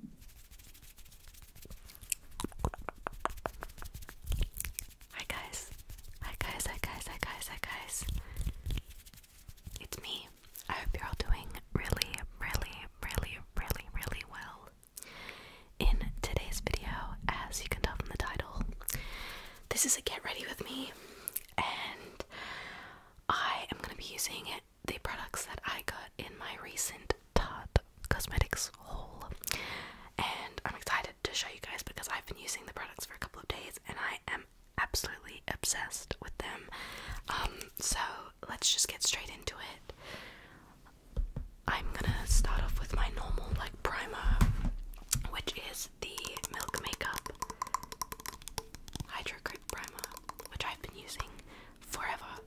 Hi guys. Hi guys, hi guys, hi guys, hi guys. It's me. I hope you're all doing really, really, really, really, really well. In today's video, as you can tell from the title, this is a get ready with me, and I am going to be using it the products that I got in my recent Tarte Cosmetics haul, and I'm excited to show you guys because I've been using the products for a couple of days and I am absolutely obsessed with them. Um, so let's just get straight into it. I'm gonna start off with my normal like primer, which is the Milk Makeup Hydro Grip Primer, which I've been using forever.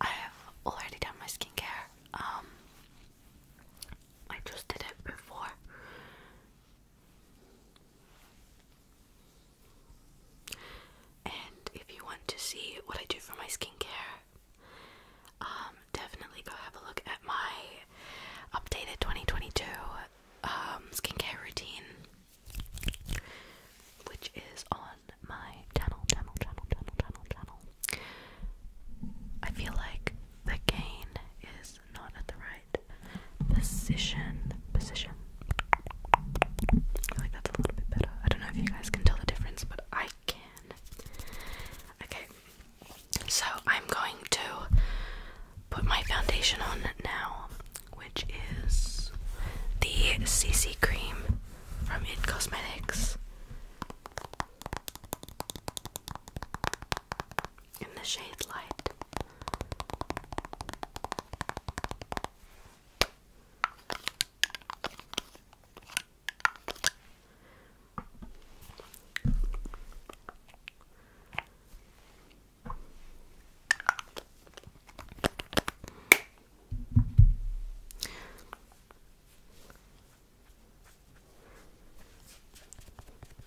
I have already done my skincare. Um, I just did it before. And if you want to see what I do for my skincare, um, definitely go have a look at my updated 2022 um, skincare routine, which is on my channel, channel, channel, channel, channel, channel. I feel like the gain is not at the right position. Position. I feel like that's a little bit better. I don't know if you guys can tell the difference, but I can. Okay, so I'm going to put my foundation on now, which is the CC cream from It Cosmetics in the shade light.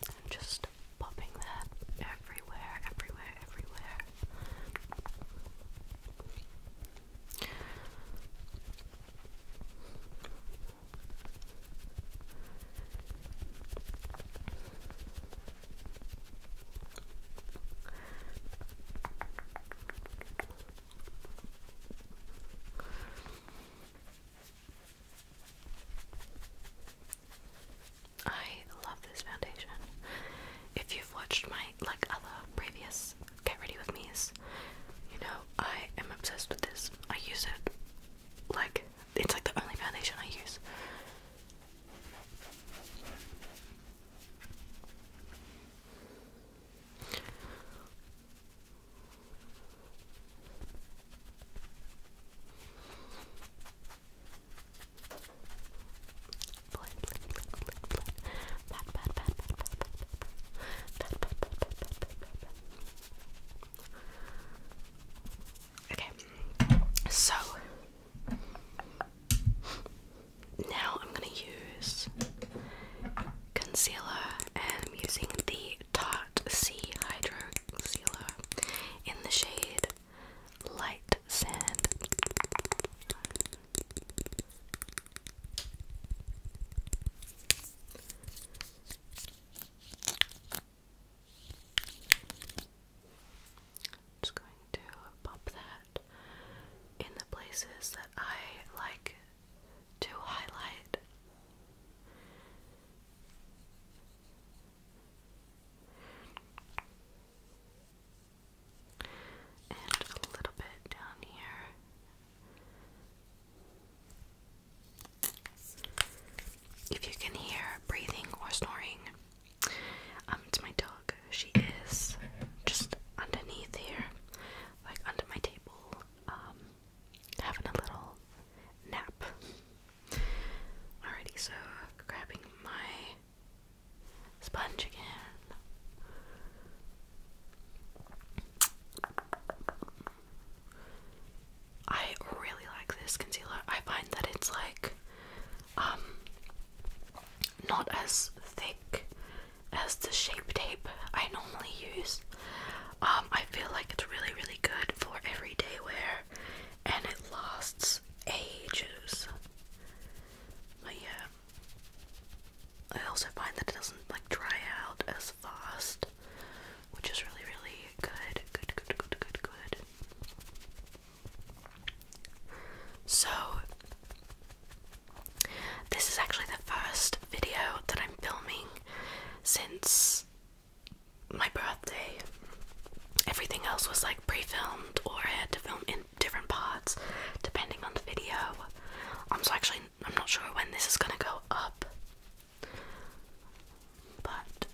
I'm just popping that everywhere, everywhere, everywhere. I love this foundation. If you've watched my like other previous get ready with me's, you know I am obsessed with this. I use it like it's like the only foundation I use. Okay, so now I'm going to use concealer and I'm using the Tarte C Hydro Concealer in the shade Light Sand. just going to pop that in the places that I like to highlight. And a little bit down here. If you can hear breathing or snoring, um, it's my dog. She is just underneath here, like under my table, um, having a little nap. Alrighty, so grabbing my sponge again. I really like this concealer. I find that it's like um not as thick as the shape tape I normally use. Um, I feel like it's really, really good for everyday wear and it lasts ages. But yeah. I also find that it doesn't like dry out as fast, which is really, really good. Good, good, good, good, good. So, this is actually the first video that I'm filming since my birthday. Everything else was like pre filmed, or I had to film in different parts depending on the video. I'm um, so actually, I'm not sure when this is gonna go up. But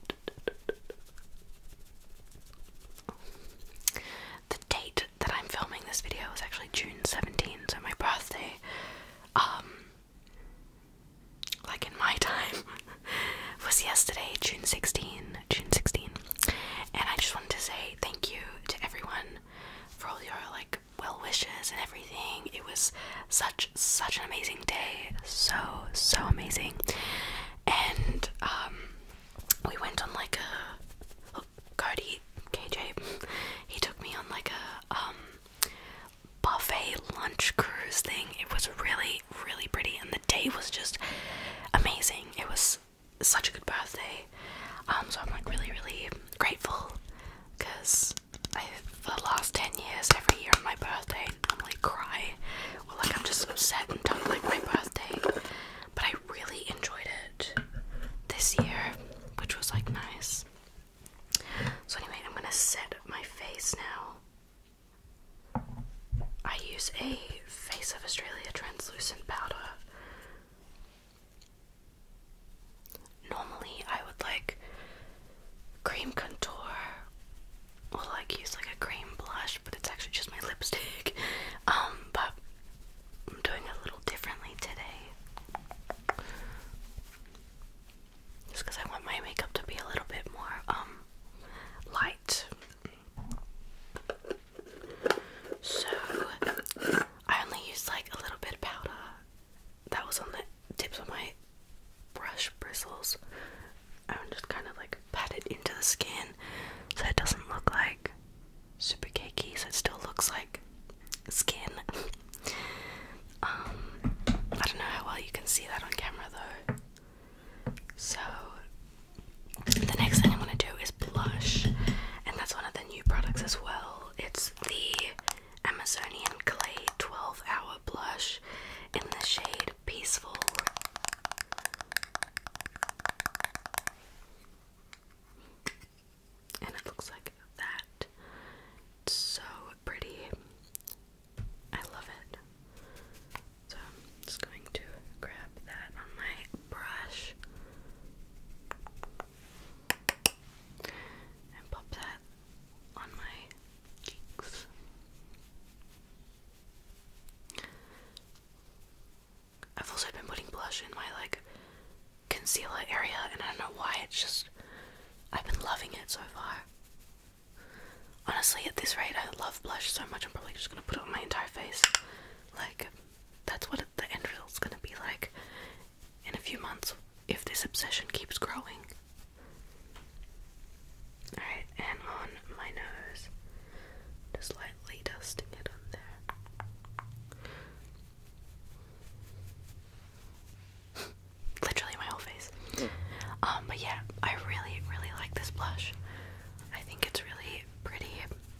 the date that I'm filming this video is actually June seventeenth, so my birthday um like in my time was yesterday June 16 June 16 and I just wanted to say thank you to everyone for all your like well wishes and everything it was such such an amazing day so so amazing and um we went on like a Cody, KJ, he took me on like a um, buffet lunch cruise thing. It was really, really pretty, and the day was just amazing. It was such a good birthday. Um, so I'm like really, really grateful because I for the last ten years, every year on my birthday, I'm like cry or like I'm just upset and don't like my birthday. But I really enjoyed it this year, which was like nice. So, anyway, I'm gonna set my face now. I use a Face of Australia translucent powder. Normally, I would like cream contour Well, like use like a cream blush, but it's actually just my lipstick. Um, but I'm doing it a little differently today. Just because I want my makeup to be a little bit more um light. So I only used like a little bit of powder that was on the tips of my brush bristles. I'm just kind of like pat it into the skin so it doesn't look like super cakey, so it still looks like skin. um, I don't know how well you can see that on camera though. So, the next thing I'm going to do is blush, and that's one of the new products as well. It's the Amazonian Clay 12 Hour Blush in the shade Peaceful and it looks like that. It's so pretty. I love it. So I'm just going to grab that on my brush and pop that on my cheeks. I've also been putting blush in my like concealer area, and I don't know why, it's just. I've been loving it so far. Honestly, at this rate, I love blush so much, I'm probably just gonna put it on my entire face. Like, that's what the end result's gonna be like in a few months if this obsession keeps growing. Alright, and on my nose, just lightly dusting it on there. Literally my whole face. Um, but yeah, I really, really like this blush. I think it's really pretty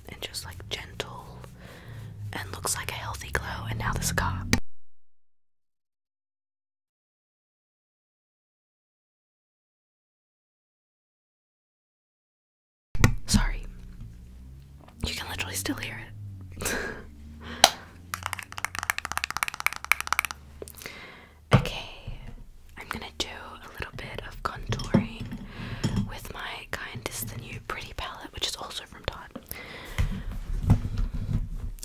and just like gentle and looks like a healthy glow. And now the scar. Sorry. You can literally still hear it. okay, I'm gonna do a little bit of contouring with my kind. the new Pretty palette, which is also from Todd.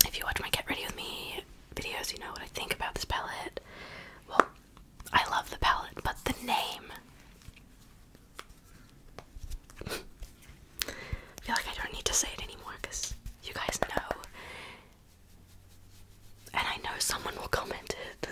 If you watch my Get Ready With Me videos, you know what I think about this palette. Well, I love the palette, but the name I feel like I don't need to say it anymore because you guys know. And I know someone will comment it.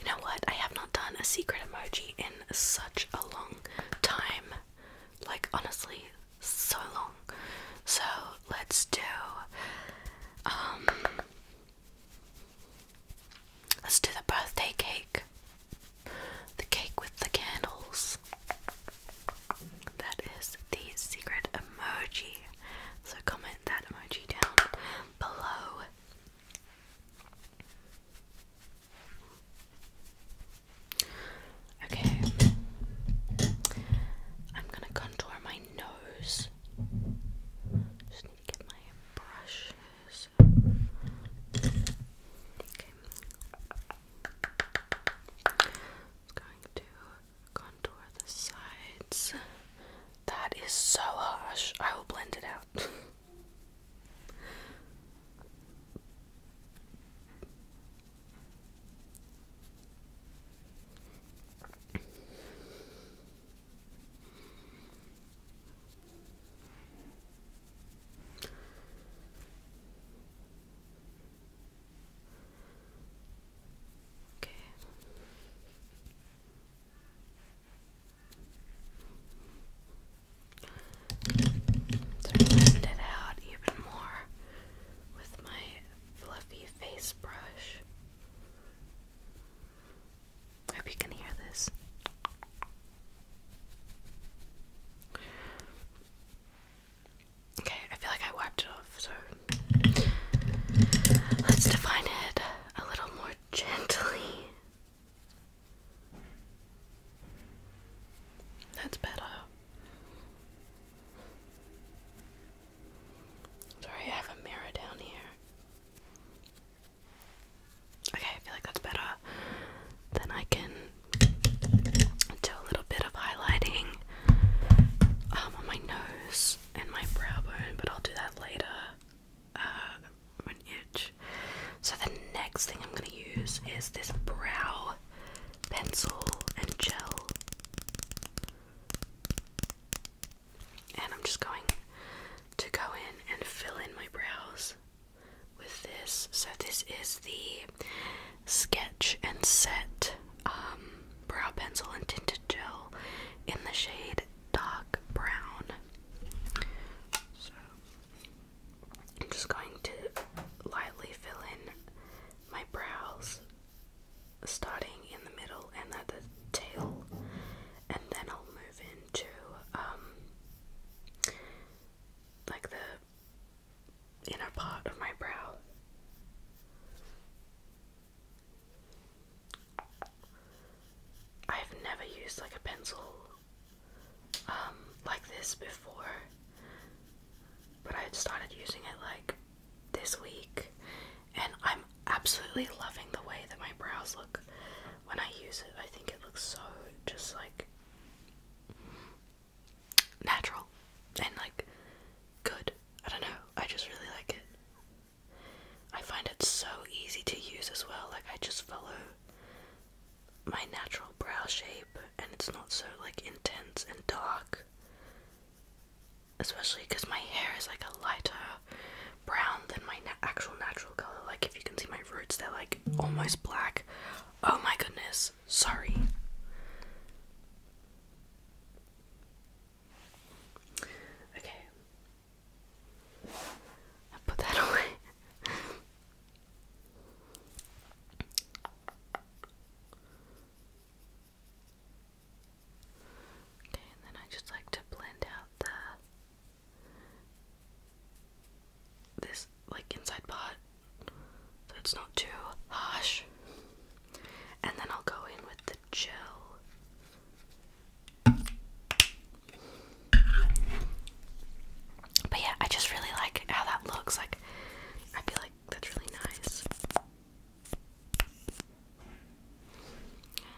You know what? I have not done a secret emoji in such a long time. Like, honestly, so long. So let's do um, let's do the birthday cake. The cake with the candles. That is the secret emoji. So comment that emoji down below. Okay. I'm gonna contour my nose. Just my brushes. Okay. Just going to contour the sides. That is so harsh. I will blend it out. Okay. Sort of it out even more with my fluffy face brush. hope you can hear this. Okay, I feel like I wiped it off, so let's define it a little more gently. That's better. Sorry, I have a mirror down here. Okay, I feel like that's better. Then I can do a little bit of highlighting um, on my nose and my brow bone, but I'll do that later. Uh, an itch. So the next thing I'm gonna use is this brow pencil and gel. And I'm just going to go in and fill in my brows with this. So this is the Sketch and Set um, brow pencil and tinted gel in the shade dark brown. So I'm just going to lightly fill in my brows starting in the middle and at the tail, and then I'll move into um, like the inner part of my brow. I've never used like a pencil um, like this before. But I started using it like this week, and I'm absolutely loving the way that my brows look when I use it. I think it looks so just like natural and like good. I don't know, I just really like it. I find it so easy to use as well. Like, I just follow my natural brow shape, and it's not so like intense and dark especially because my hair is like a lighter brown than my actual natural color. Like, if you can see my roots, they're like almost black. Oh my goodness, sorry. Okay, put that away. Okay, and then I just like to blend out the this like inside pot so it's not too harsh. And then I'll go in with the gel. But yeah, I just really like how that looks. Like I feel like that's really nice.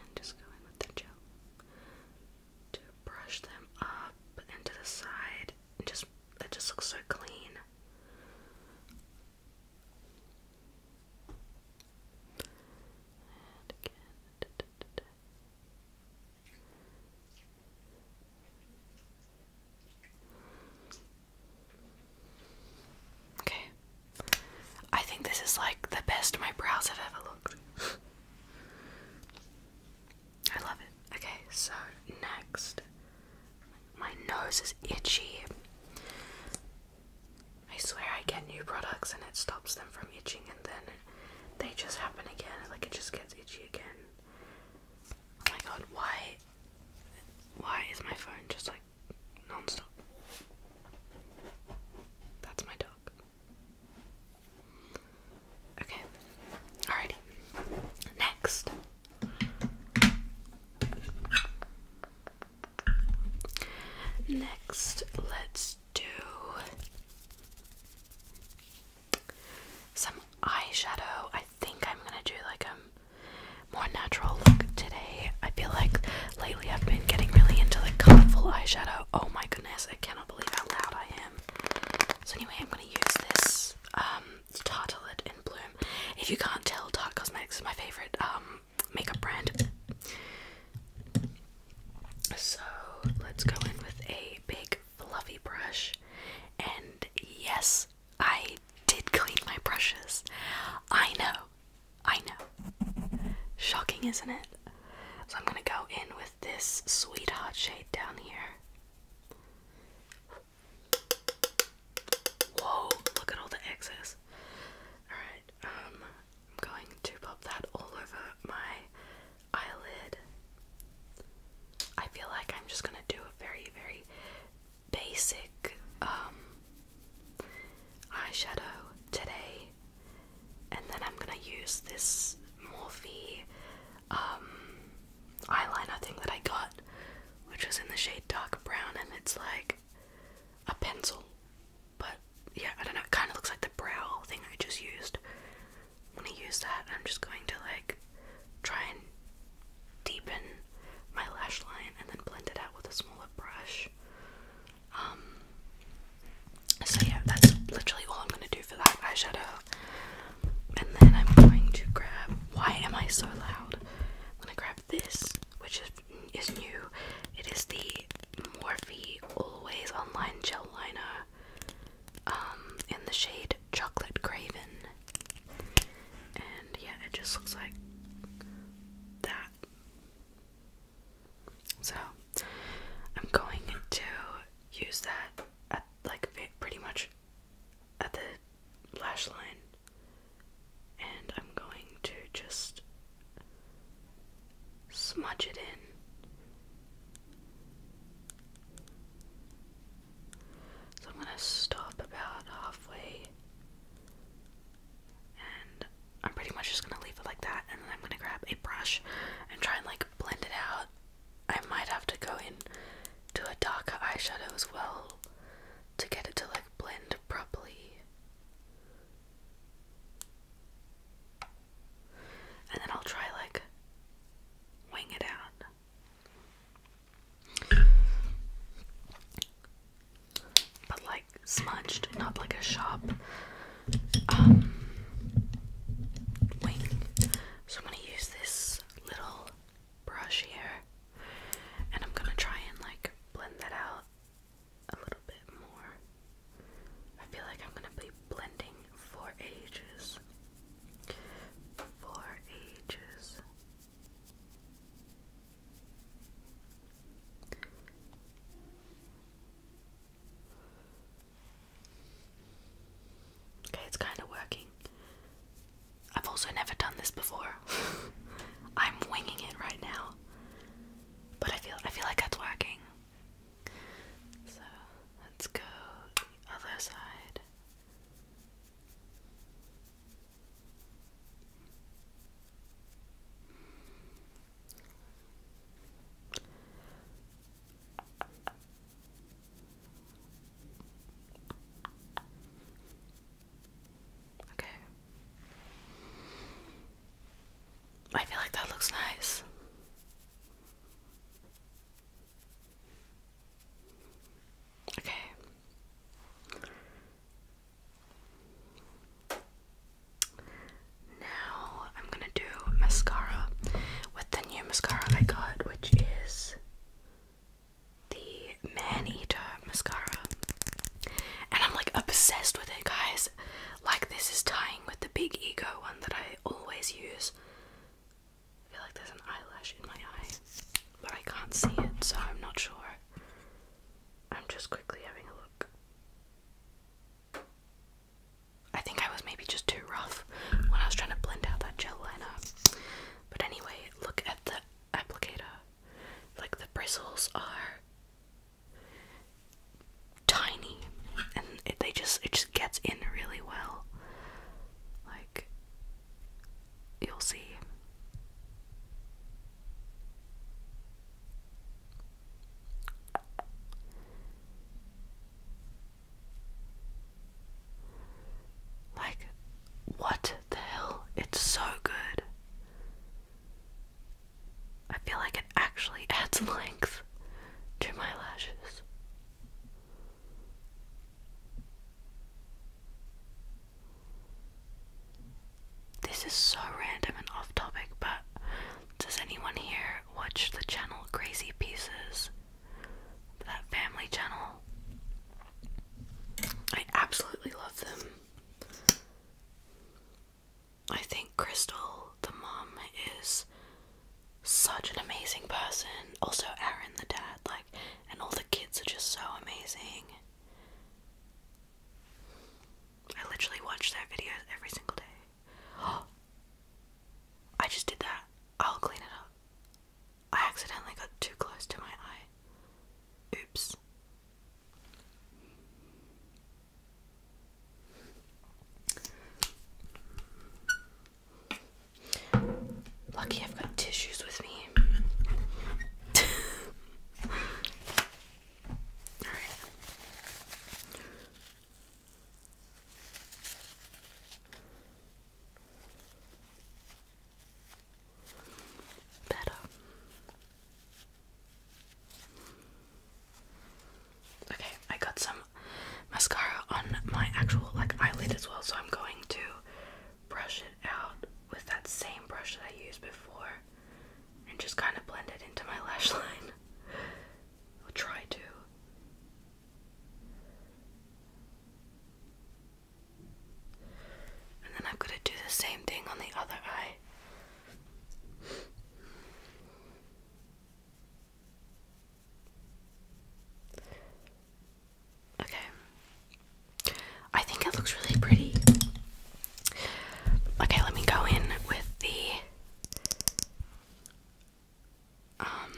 And just go in with the gel to brush them up and the side. just it just looks so clean. And again. Okay. I think this is like the best my brows have ever looked. I love it. Okay, so next. My nose is itchy. I swear I get new products and it stops them from itching and then they just happen again. Like it just gets itchy again. Oh my god, why why is my phone just like non-stop? That's my dog. Okay. Alrighty. Next. Next, let's do some eyeshadow. I think I'm gonna do like um more natural look today. I feel like lately I've been getting really into the colorful eyeshadow. Oh my goodness, I cannot believe how loud I am. So anyway, I'm gonna use this um in Bloom. If you can't tell, Tarte Cosmetics is my favorite um, makeup brand. So let's go in with a big fluffy brush and yes I did clean my brushes. I know. I know. Shocking, isn't it? So I'm gonna go in with this sweet hot shade down here. Whoa, look at all the excess. Alright, um, I'm going to pop that all over my eyelid. I feel like I'm just gonna do a very, very basic um, eyeshadow today, and then I'm gonna use this Morphe um, eyeliner thing that I got, which was in the shade dark brown, and it's like a pencil, but yeah, I don't know, it kind of looks like the brow thing I just used. I'm gonna use that, I'm just going to like try and deepen my lash line and then blend it out with a smaller brush. Um, so yeah, that's literally all I'm going to do for that eyeshadow. And then I'm going to grab, why am I so loud? I'm going to grab this, which is, new. It is the Morphe Always Online Gel Liner um, in the shade Chocolate Craven. And yeah, it just looks like that. So I'm going to use that at like pretty much at the lash line. And I'm going to just smudge it in. So I'm going to stop about halfway. And I'm pretty much just going to leave it like that. And then I'm going to grab a brush and try and like blend it out. I might have to go in to a darker eyeshadow as well to get it to like blend properly. And then I'll try like wing it out. But like smudged, not like a shop um, So I'm gonna use this little brush here and I'm gonna try and like blend that out a little bit more. I feel like I'm gonna be blending for ages. For ages. Okay, it's kind of working. I've also never done this before. I'm winging it right now. But I feel I feel like that's working. So, let's go other side. Okay. I feel like that looks nice. Okay. Now I'm gonna do mascara with the new mascara I got, which is the Man Eater mascara. And I'm like obsessed with it, guys. Like, this is tying with the Big Ego one that I always use. I feel like there's an eyelash in my eye, but I can't see it, so I'm not sure. I'm just quickly having a look. I think I was maybe just too rough when I was trying to blend out that gel liner. But anyway, look at the applicator. Like the bristles are tiny, and it, they just it just gets in really well. Like you'll see. Like, what the hell? It's so good. I feel like it actually adds length to my lashes. This is so random and off topic, but does anyone here watch the channel Crazy Pieces? That family channel? I absolutely love them. I think Crystal, the mom, is such an amazing person. Also, Aaron, the dad, like and all the kids are just so amazing. I literally watch their videos every single day. I just did that. I'll clean it up. I accidentally got too close to my eye. Oops. Lucky I've got tissues with me. Alright. Better. Okay, I got some mascara on my actual like eyelid as well, so I'm going to brush it out with that same brush that I used before and just kind of blend it into my lash line. I'll try to. And then I'm going to do the same thing on the other eye. Okay. I think it looks really pretty. Okay, let me go in with the um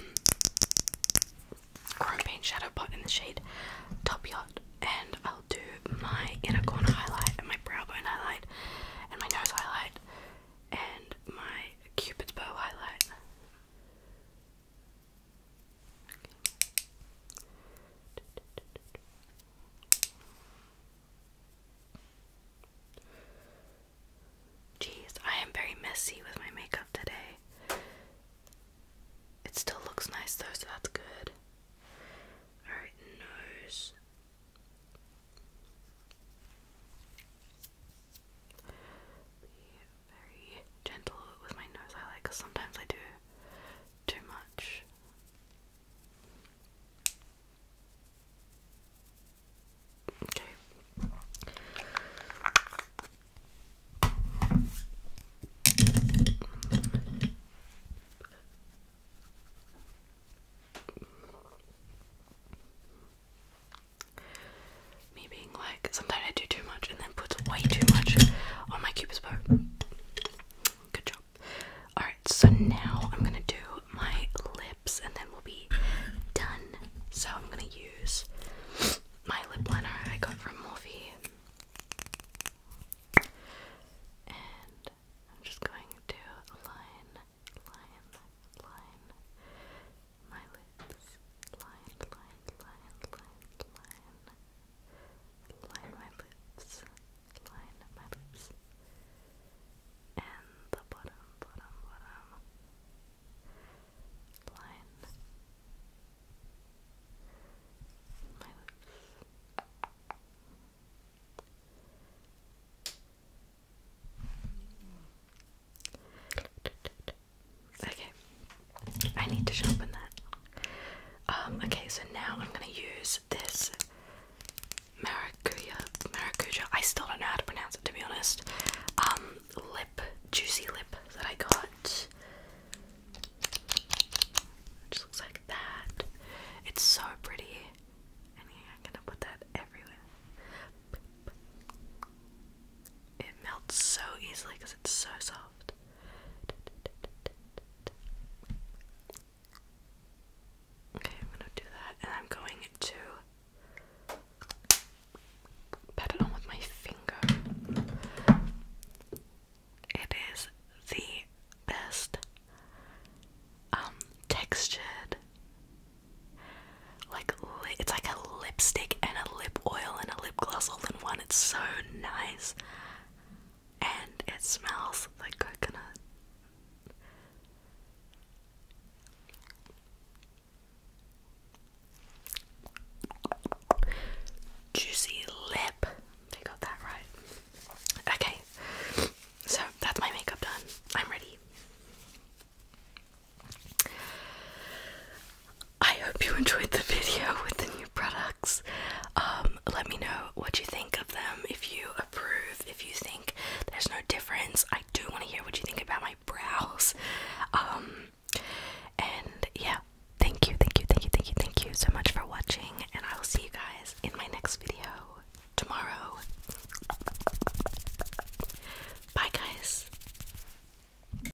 paint shadow pot in the shade Top Yacht and I'll do my inner corner highlight and my brow bone highlight and my nose highlight and my cupid's bow highlight. Jeez, I am very messy with my makeup today. It still looks nice though, so that's good. Alright, nose very gentle with my nose highlight because sometimes I do too much. Okay me being like, sometimes I do too much and then puts way too much on my cupid's bow. Good job. Alright, so now I'm gonna do my lips and then we'll be done. So I'm gonna use my lip liner I got from Morphe. And I'm just going to line, line, line my lips line, line, line, line, line, line my lips, line my lips, and the bottom, bottom, bottom, line my lips. Okay, I need to sharpen that. Um, okay, so now I'm gonna use this maracuja. Maracuja. I still don't know how to pronounce it to be honest. Um, lip, juicy lip that I got. just looks like that. It's so pretty. And yeah, I'm gonna put that everywhere. It melts so easily because it's so soft. Okay, I'm gonna do that, and I'm going to pat it on with my finger. It is the best um, textured like it's like a lipstick and a lip oil and a lip all in one. It's so nice. And it smells like coconut. Juicy lip. They got that right. Okay. So that's my makeup done. I'm ready. I hope you enjoyed the video with the new products. Um, let me know what you think of them, if you approve, if you think there's no difference. I do want to hear what you think about my brows. Um, and yeah, thank you, thank you, thank you, thank you, thank you so much for watching, and I will see you guys in my next video tomorrow. Bye, guys.